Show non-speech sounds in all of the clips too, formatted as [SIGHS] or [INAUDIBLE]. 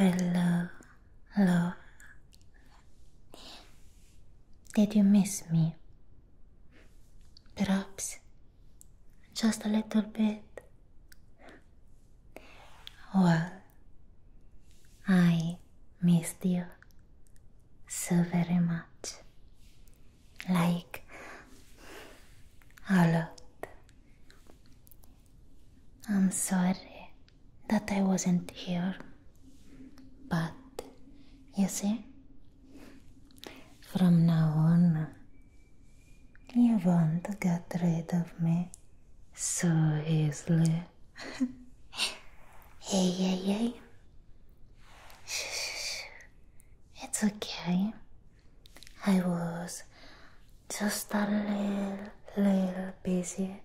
Hello, love. Did you miss me? Perhaps just a little bit. Well, I missed you so very much like a lot. I'm sorry that I wasn't here, but you see, from now on, you won't get rid of me so easily. [LAUGHS] hey, hey, hey. Shh, shh, shh. It's okay. I was just a little, little busy,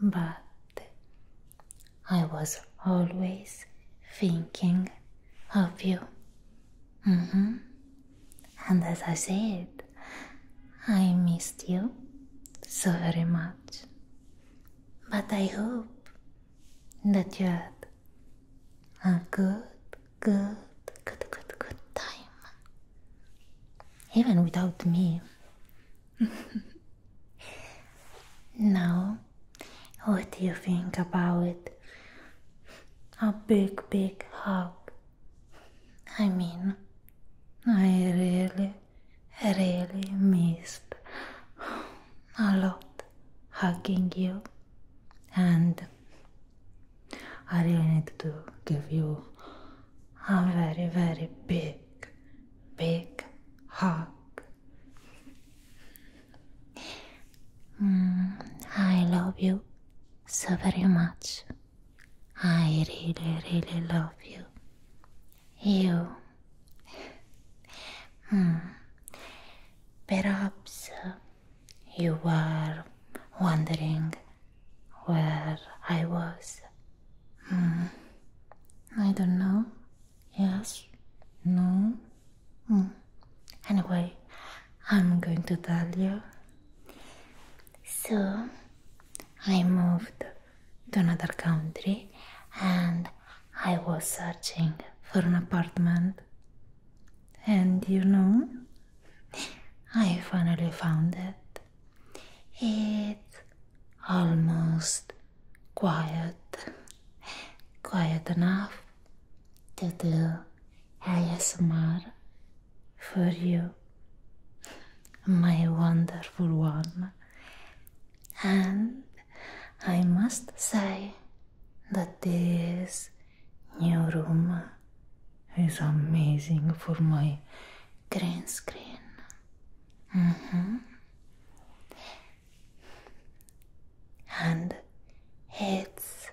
but I was always thinking of you. Mm hmm. And as I said, I missed you so very much. But I hope that you had a good, good, good, good, good time. Even without me. [LAUGHS] now, what do you think about a big, big hug? I mean, I really, really missed a lot hugging you and I really need to give you a very very big big hug. Mm, I love you so very much. I really really love you. You Hmm. Perhaps you were wondering where I was. Hmm. I don't know. Yes? No? Hmm. Anyway, I'm going to tell you. So, I moved to another country and I was searching for an apartment, and you know, [LAUGHS] I finally found it. It's almost quiet, [LAUGHS] quiet enough to do ASMR for you, my wonderful one and I must say that this new room is amazing for my green screen. Mm-hmm. And it's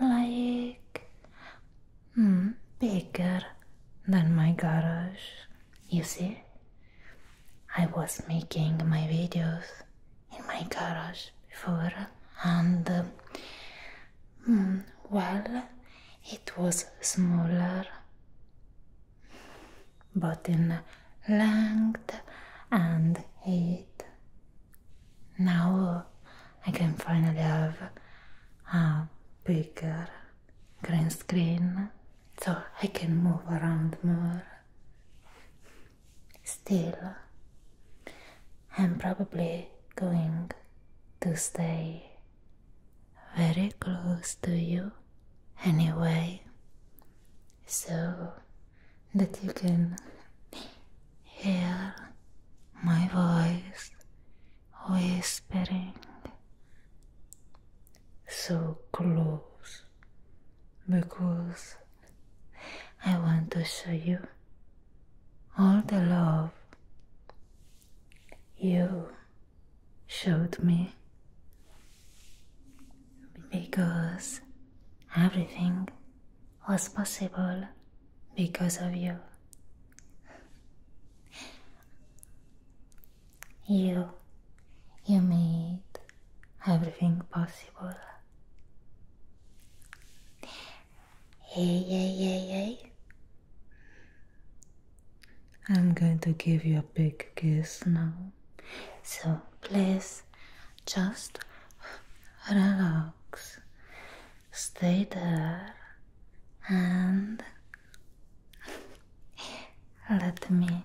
like mm, bigger than my garage, you see? I was making my videos in my garage before, and uh, well, it was smaller, but in length and height. Now I can finally have a bigger green screen so I can move around more. Still, I'm probably going to stay very close to you anyway, so that you can hear my voice whispering so close because I want to show you all the love you showed me because everything was possible because of you. You, you made everything possible. Hey, hey, hey, hey. I'm going to give you a big kiss now. So please just relax. Stay there and let me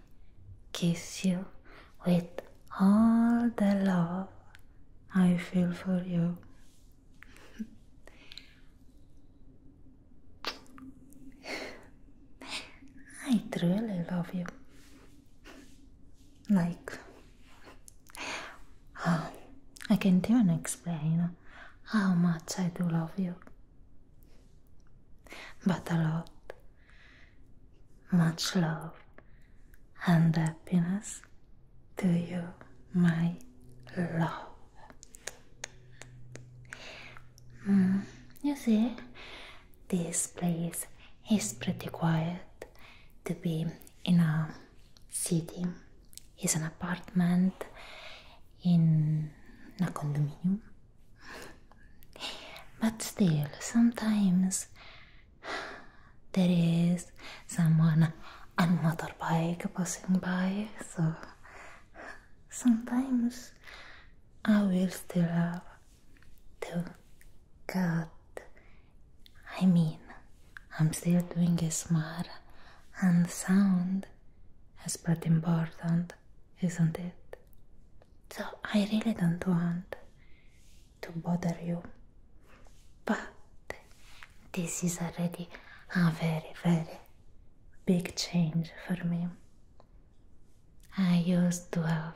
kiss you with all the love I feel for you. [LAUGHS] I truly love you. Like, [SIGHS] ah, I can't even explain how much I do love you. But a lot, much love and happiness to you, my love. Mm, you see, this place is pretty quiet to be in a city, is an apartment in a condominium. But still, sometimes there is someone on motorbike passing by, so sometimes I will still have to cut. I mean, I'm still doing a smart, and sound is pretty important isn't it? So I really don't want to bother you, but this is already a very, very big change for me. I used to have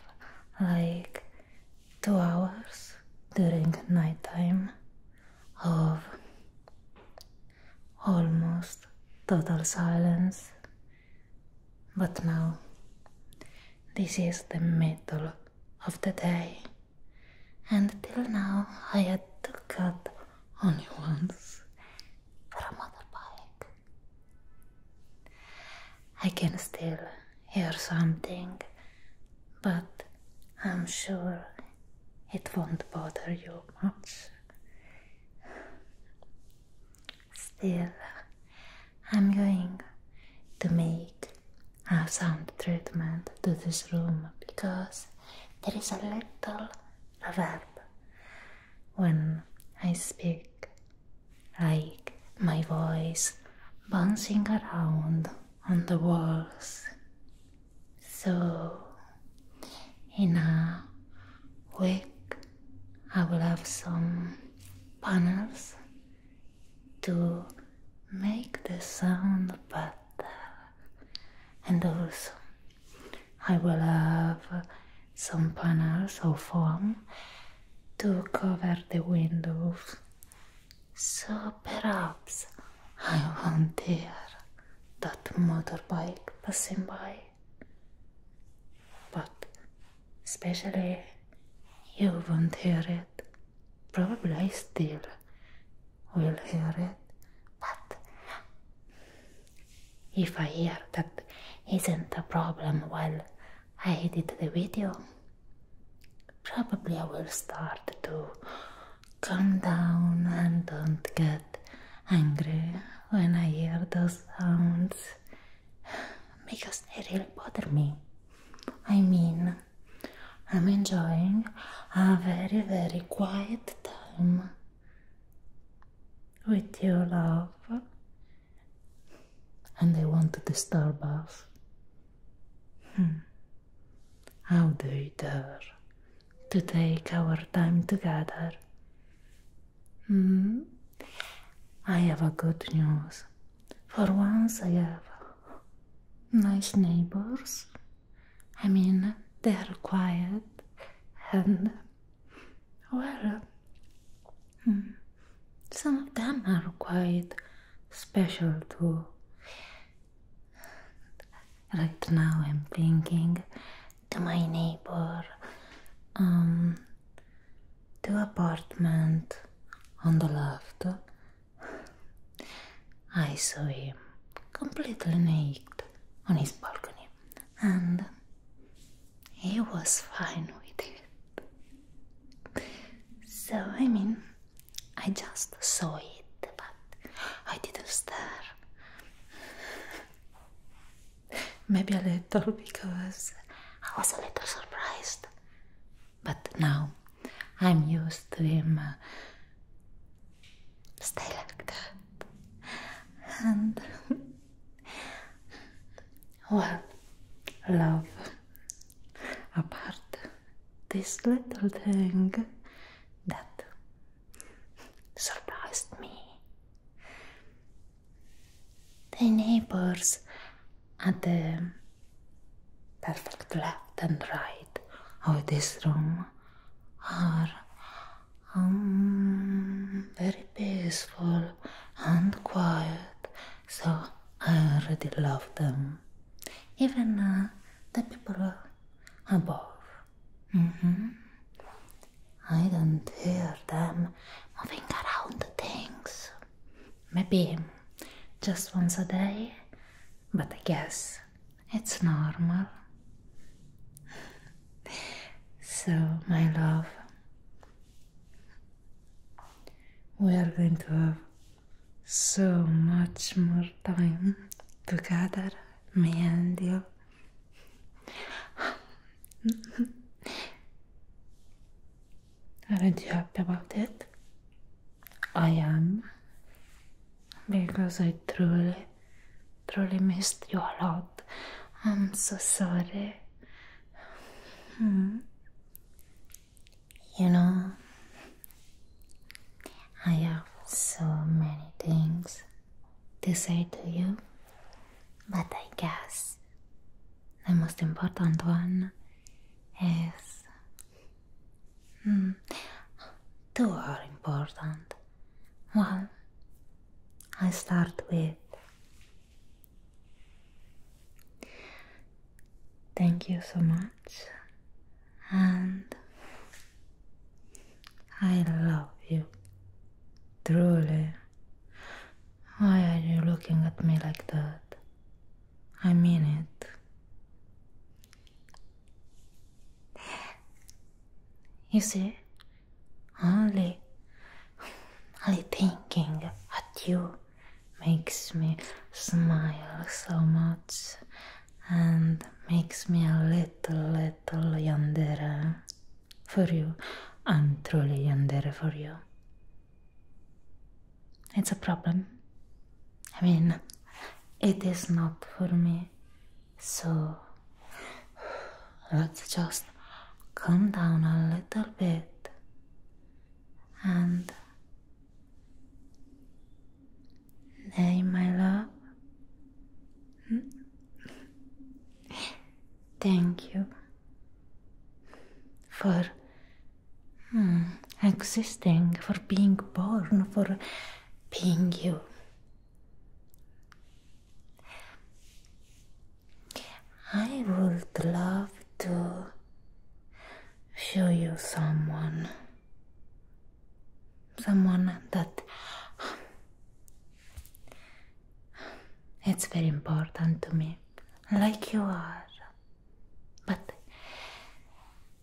like two hours during nighttime of almost total silence but now, this is the middle of the day, and till now I had to cut only once from a bike. I can still hear something, but I'm sure it won't bother you much. Still, I'm going to make a sound treatment to this room because there is a little reverb when I speak, like my voice bouncing around on the walls. So, in a week. I will have some panels to make the sound better, and also I will have some panels or foam to cover the windows. So perhaps I won't hear that motorbike passing by. But especially you won't hear it. Probably I still will hear it. But if I hear that isn't a problem well, I edit the video, probably I will start to calm down and don't get angry when I hear those sounds because they really bother me. I mean, I'm enjoying a very, very quiet time with you, love, and I want to disturb hmm. How do you dare to take our time together Hmm? I have a good news. For once, I have nice neighbors. I mean, they're quiet and well, hmm, some of them are quite special too. Right now, I'm thinking to my neighbor, um, two apartment on the left. I saw him completely naked on his balcony, and he was fine with it. So, I mean, I just saw it, but I didn't stare. Maybe a little because I was a little surprised. But now I'm used to him uh, stay like that. And [LAUGHS] well, love apart this little thing that surprised me the neighbors at the perfect left and right of this room are um, very peaceful and quiet, so I already love them. Even uh, the people above. Mm I don't hear them moving around things. Maybe just once a day, but I guess it's normal. so, my love, we are going to have so much more time together, me and you. Aren't you happy about it? I am. Because I truly, truly missed you a lot. I'm so sorry. Hmm. You know, I have so many things to say to you. But I guess the most important one is. Hmm, two are important. Well, I start with. Thank you so much, and I love you truly. Why are you looking at me like that? I mean it. You see, only, only thinking at you makes me smile so much and makes me a little, little yandere for you. I'm truly there for you. It's a problem. I mean, it is not for me. So let's just calm down a little bit and hey, my love. Thank you for hmm, existing, for being born, for being you. I would love to show you someone, someone that it's very important to me, like you are. But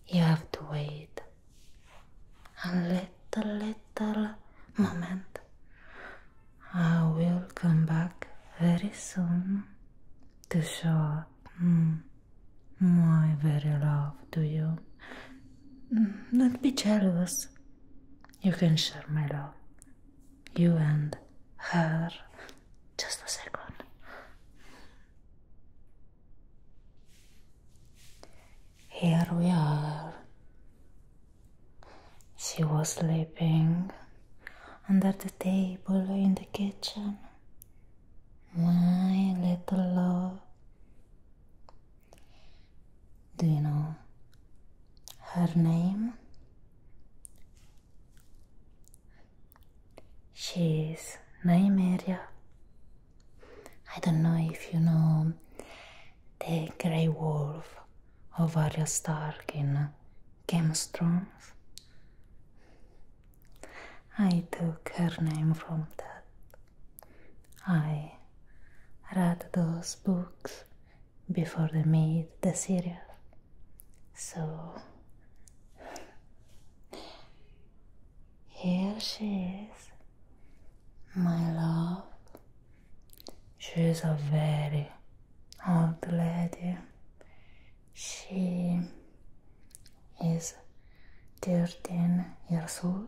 you have to wait a little, little moment. I will come back very soon to show my very love to you. Don't be jealous. You can share my love you and her. Just a second. Here we are. She was sleeping under the table in the kitchen. My little love. Do you know her name? She is Nymeria. I don't know if you know the Grey Wolf of Arya Stark in Game of Thrones. I took her name from that. I read those books before they made the series, So here she is, my love. She is a very old lady. She is 13 years old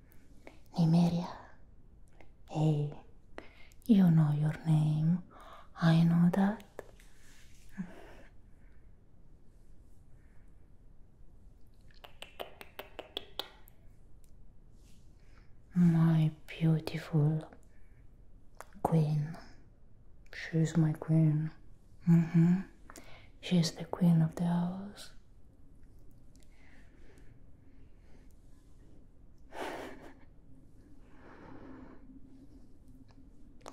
Nimeria. Hey, you know your name. I know that. My beautiful queen. She's my queen. Mm-hmm. She's the queen of the house.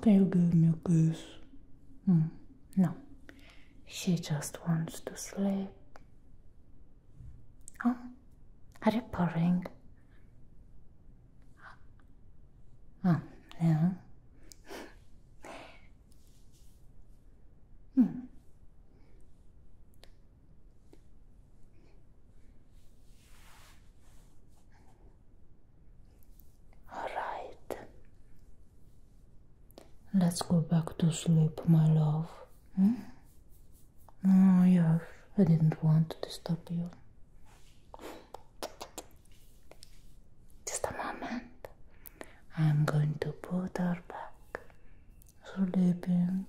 Can you give me a kiss. no, she just wants to sleep. Oh, are you purring? Oh, yeah. [LAUGHS] Hmm. All right. Let's go back to sleep, my love. Hmm? Oh, yes, I didn't want to disturb you. Just a moment. I'm going to put her back sleeping.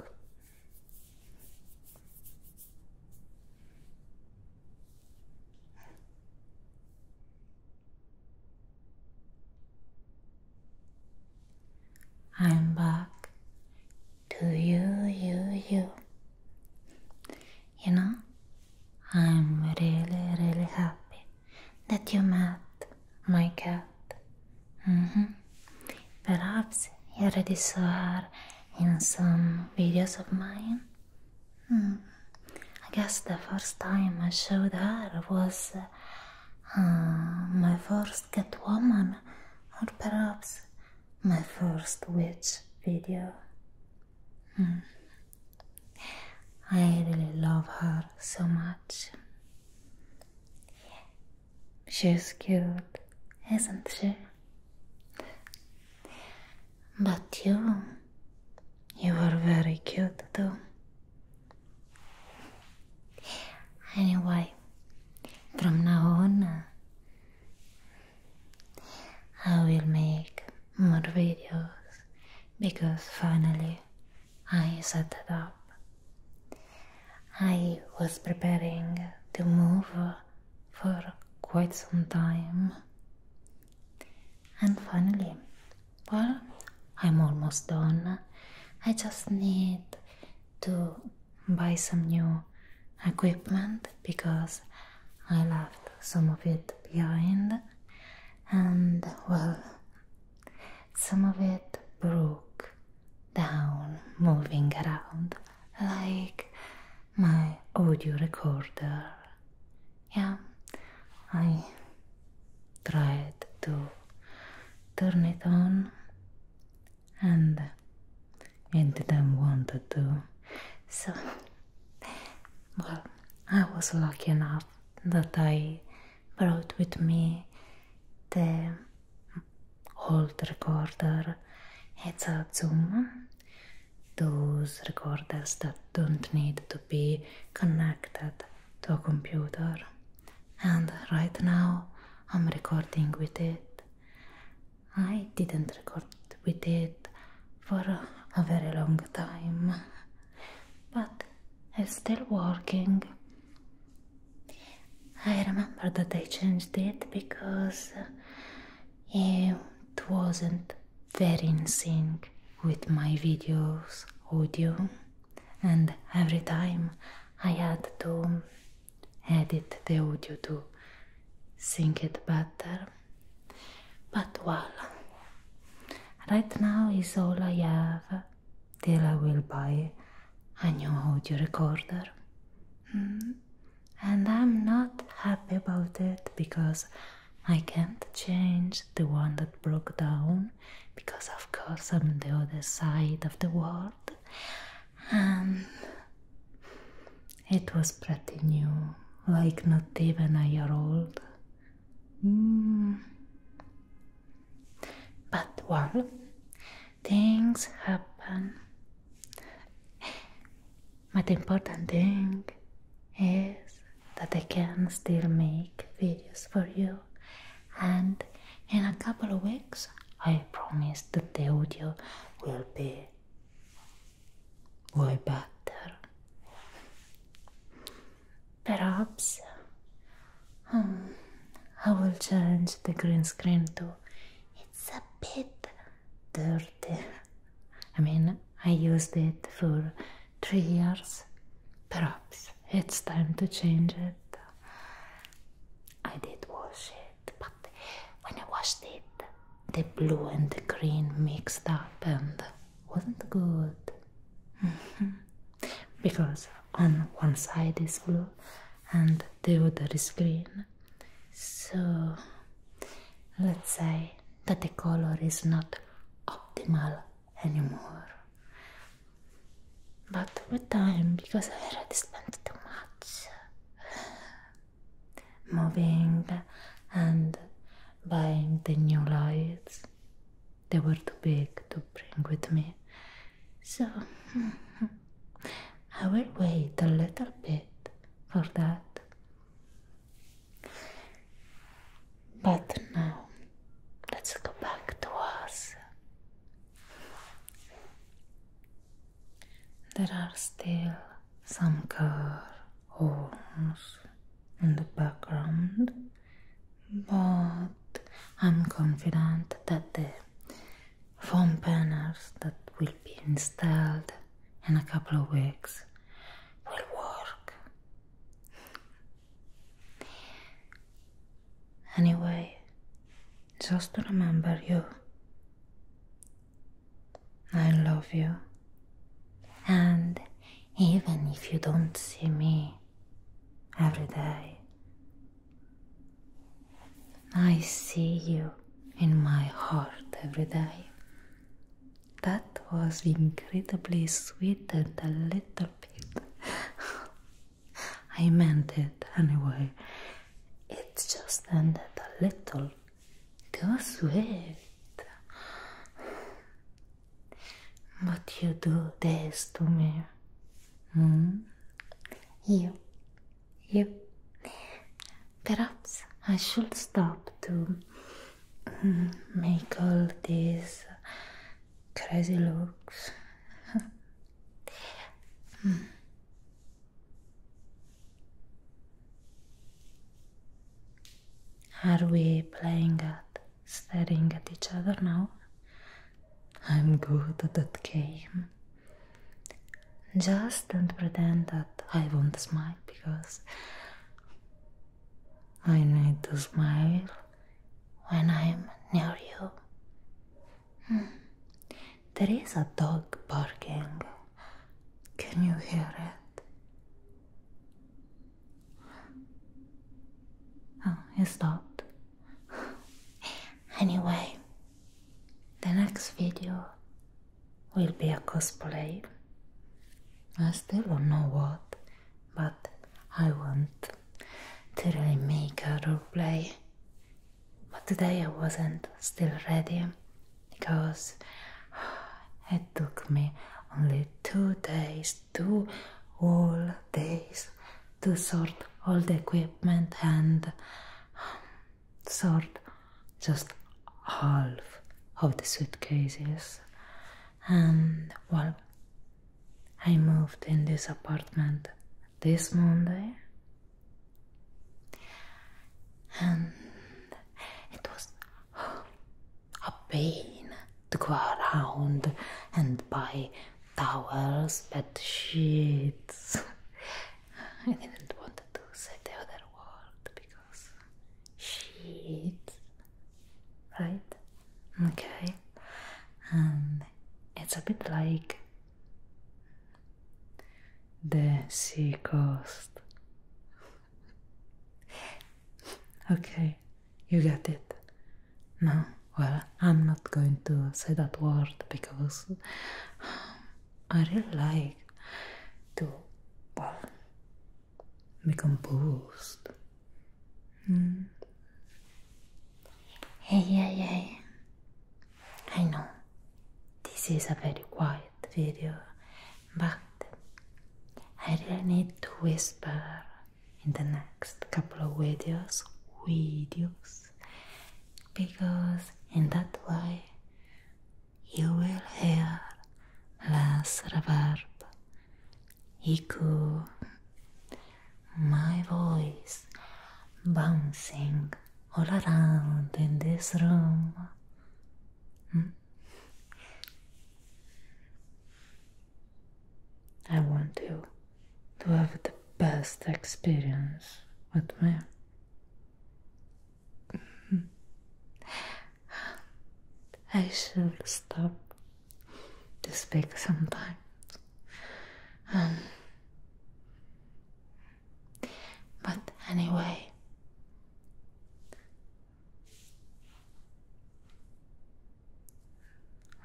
I'm back to you, you, you. You know, I'm really, really happy that you met my cat. Mm-hmm. Perhaps you already saw her in some videos of mine. Hmm. I guess the first time I showed her was uh, my first cat woman, or perhaps my first witch video. Hmm. I really love her so much. She's cute, isn't she? But you, you were very cute too. Anyway, from now on, I will make more videos because finally I set it up. I was preparing to move for quite some time. And finally, well, I'm almost done. I just need to buy some new equipment because I left some of it behind, and well, some of it broke down, moving around like my audio recorder. Yeah, I tried to turn it on and it didn't want to. So, well, I was lucky enough that I brought with me the old recorder. It's a Zoom. Those recorders that don't need to be connected to a computer. And right now I'm recording with it. I didn't record with it for a very long time. but I'm still working. I remember that I changed it because uh, it wasn't very in sync with my video's audio and every time I had to edit the audio to sync it better but well, right now is all I have till I will buy a new audio recorder. Hmm. And I'm not happy about it because I can't change the one that broke down because, of course, I'm the other side of the world. And um, it was pretty new, like not even a year old. Hmm. But well, things happen. But the important thing is that I can still make videos for you, and in a couple of weeks, I promise that the audio will be way better. Perhaps um, I will change the green screen too. It's a bit dirty. I mean, I used it for three years. Perhaps it's time to change it. I did wash it, but when I washed it, the blue and the green mixed up and wasn't good. [LAUGHS] Mm-hmm because on one side is blue and the other is green. So let's say that the color is not optimal anymore. But with time, because I already spent too much [SIGHS] moving and buying the new lights, they were too big to bring with me, so [LAUGHS] I will wait a little bit for that. But now let's go back to us. There are still some car horns in the background but I'm confident that the foam panels that will be installed in a couple of weeks will work. Anyway, just remember you. I love you. And even if you don't see me every day. I see you in my heart every day. That was incredibly sweet and a little bit. I meant it anyway. It just ended a little too sweet. But you do this to me. Hmm? You. You. Perhaps I should stop to hmm, make all these crazy looks. [LAUGHS] hmm. Are we playing at staring at each other now. I'm good at that game. Just don't pretend that I won't smile because I need to smile when I'm near you. Hmm. There is a dog barking. Can you hear it? Oh, it stopped. Anyway, the next video will be a cosplay. I still don't know what, but I want to really make a roleplay. But today I wasn't still ready because [SIGHS] it took me only two days to all days to sort all the equipment and um, sort just half of the suitcases. And well, I moved in this apartment this Monday, and it was a pain to go around and buy towels, bed sheets. [LAUGHS] I didn't want to say the other word because sheets, right? Okay, and it's a bit like the sea coast. [LAUGHS] okay, you get it? No? Well, I'm not going to say that word because [SIGHS] I really like to, well, be composed. Mm. Hey, hey, hey. I know this is a very quiet video, but I really need to whisper in the next couple of videos videos because in that way you will hear less reverb echo my voice bouncing all around in this room hmm? I want you to have the best experience with me. Mm-hmm. I should stop to speak sometimes. Um, but anyway,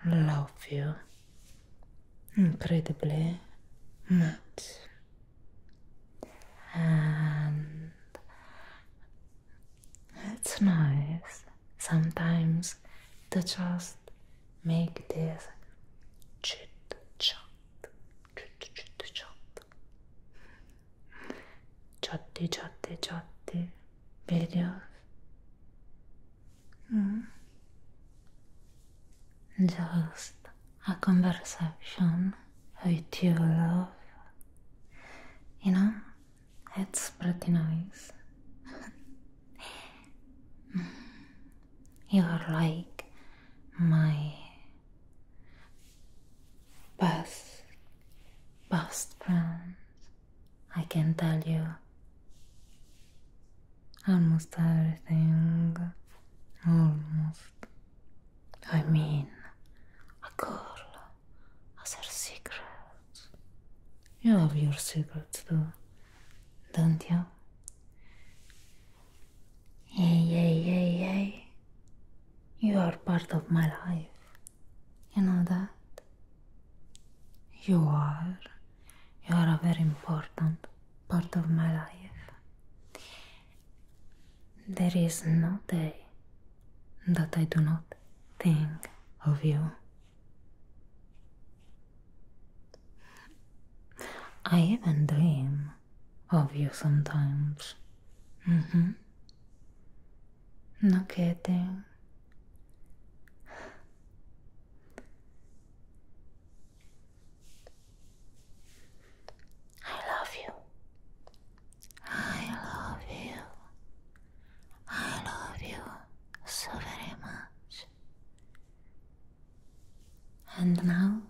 love you incredibly much and it's nice sometimes to just make this chit chat chit chat chat chatty chatty chatty videos. Mm. Just a conversation with your love. You know, it's pretty nice. [LAUGHS] You're like my best, best friend. I can tell you almost everything. Almost. I mean, a girl has her secrets. You have your secrets too, don't you? Yeah, yeah, yeah, hey. You are part of my life. You know that? You are. You are a very important part of my life. There is no day that I do not think of you. I even dream of you sometimes. Mm-hmm. Not kidding. I love you. I love you. I love you so very much. And now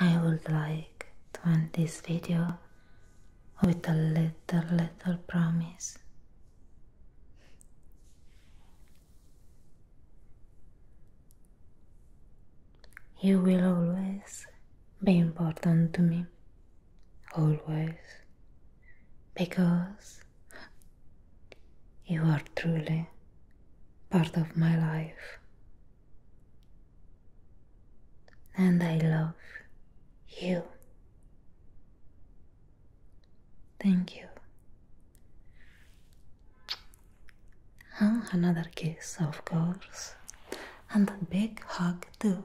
I would like to end this video with a little, little promise. You will always be important to me, always, because you are truly part of my life. And I love you. Thank you. And another kiss, of course. And a big hug, too.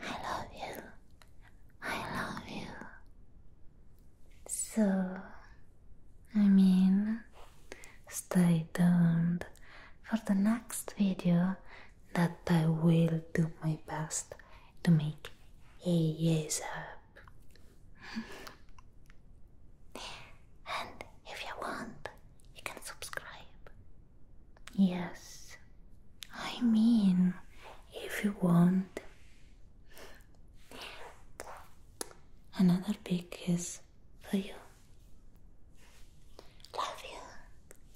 I love you. I love you. So, I mean, stay tuned for the next video that I will do my best to make ASAP. [LAUGHS] and if you want, you can subscribe. Yes, I mean, if you want. Another big kiss for you. Love you.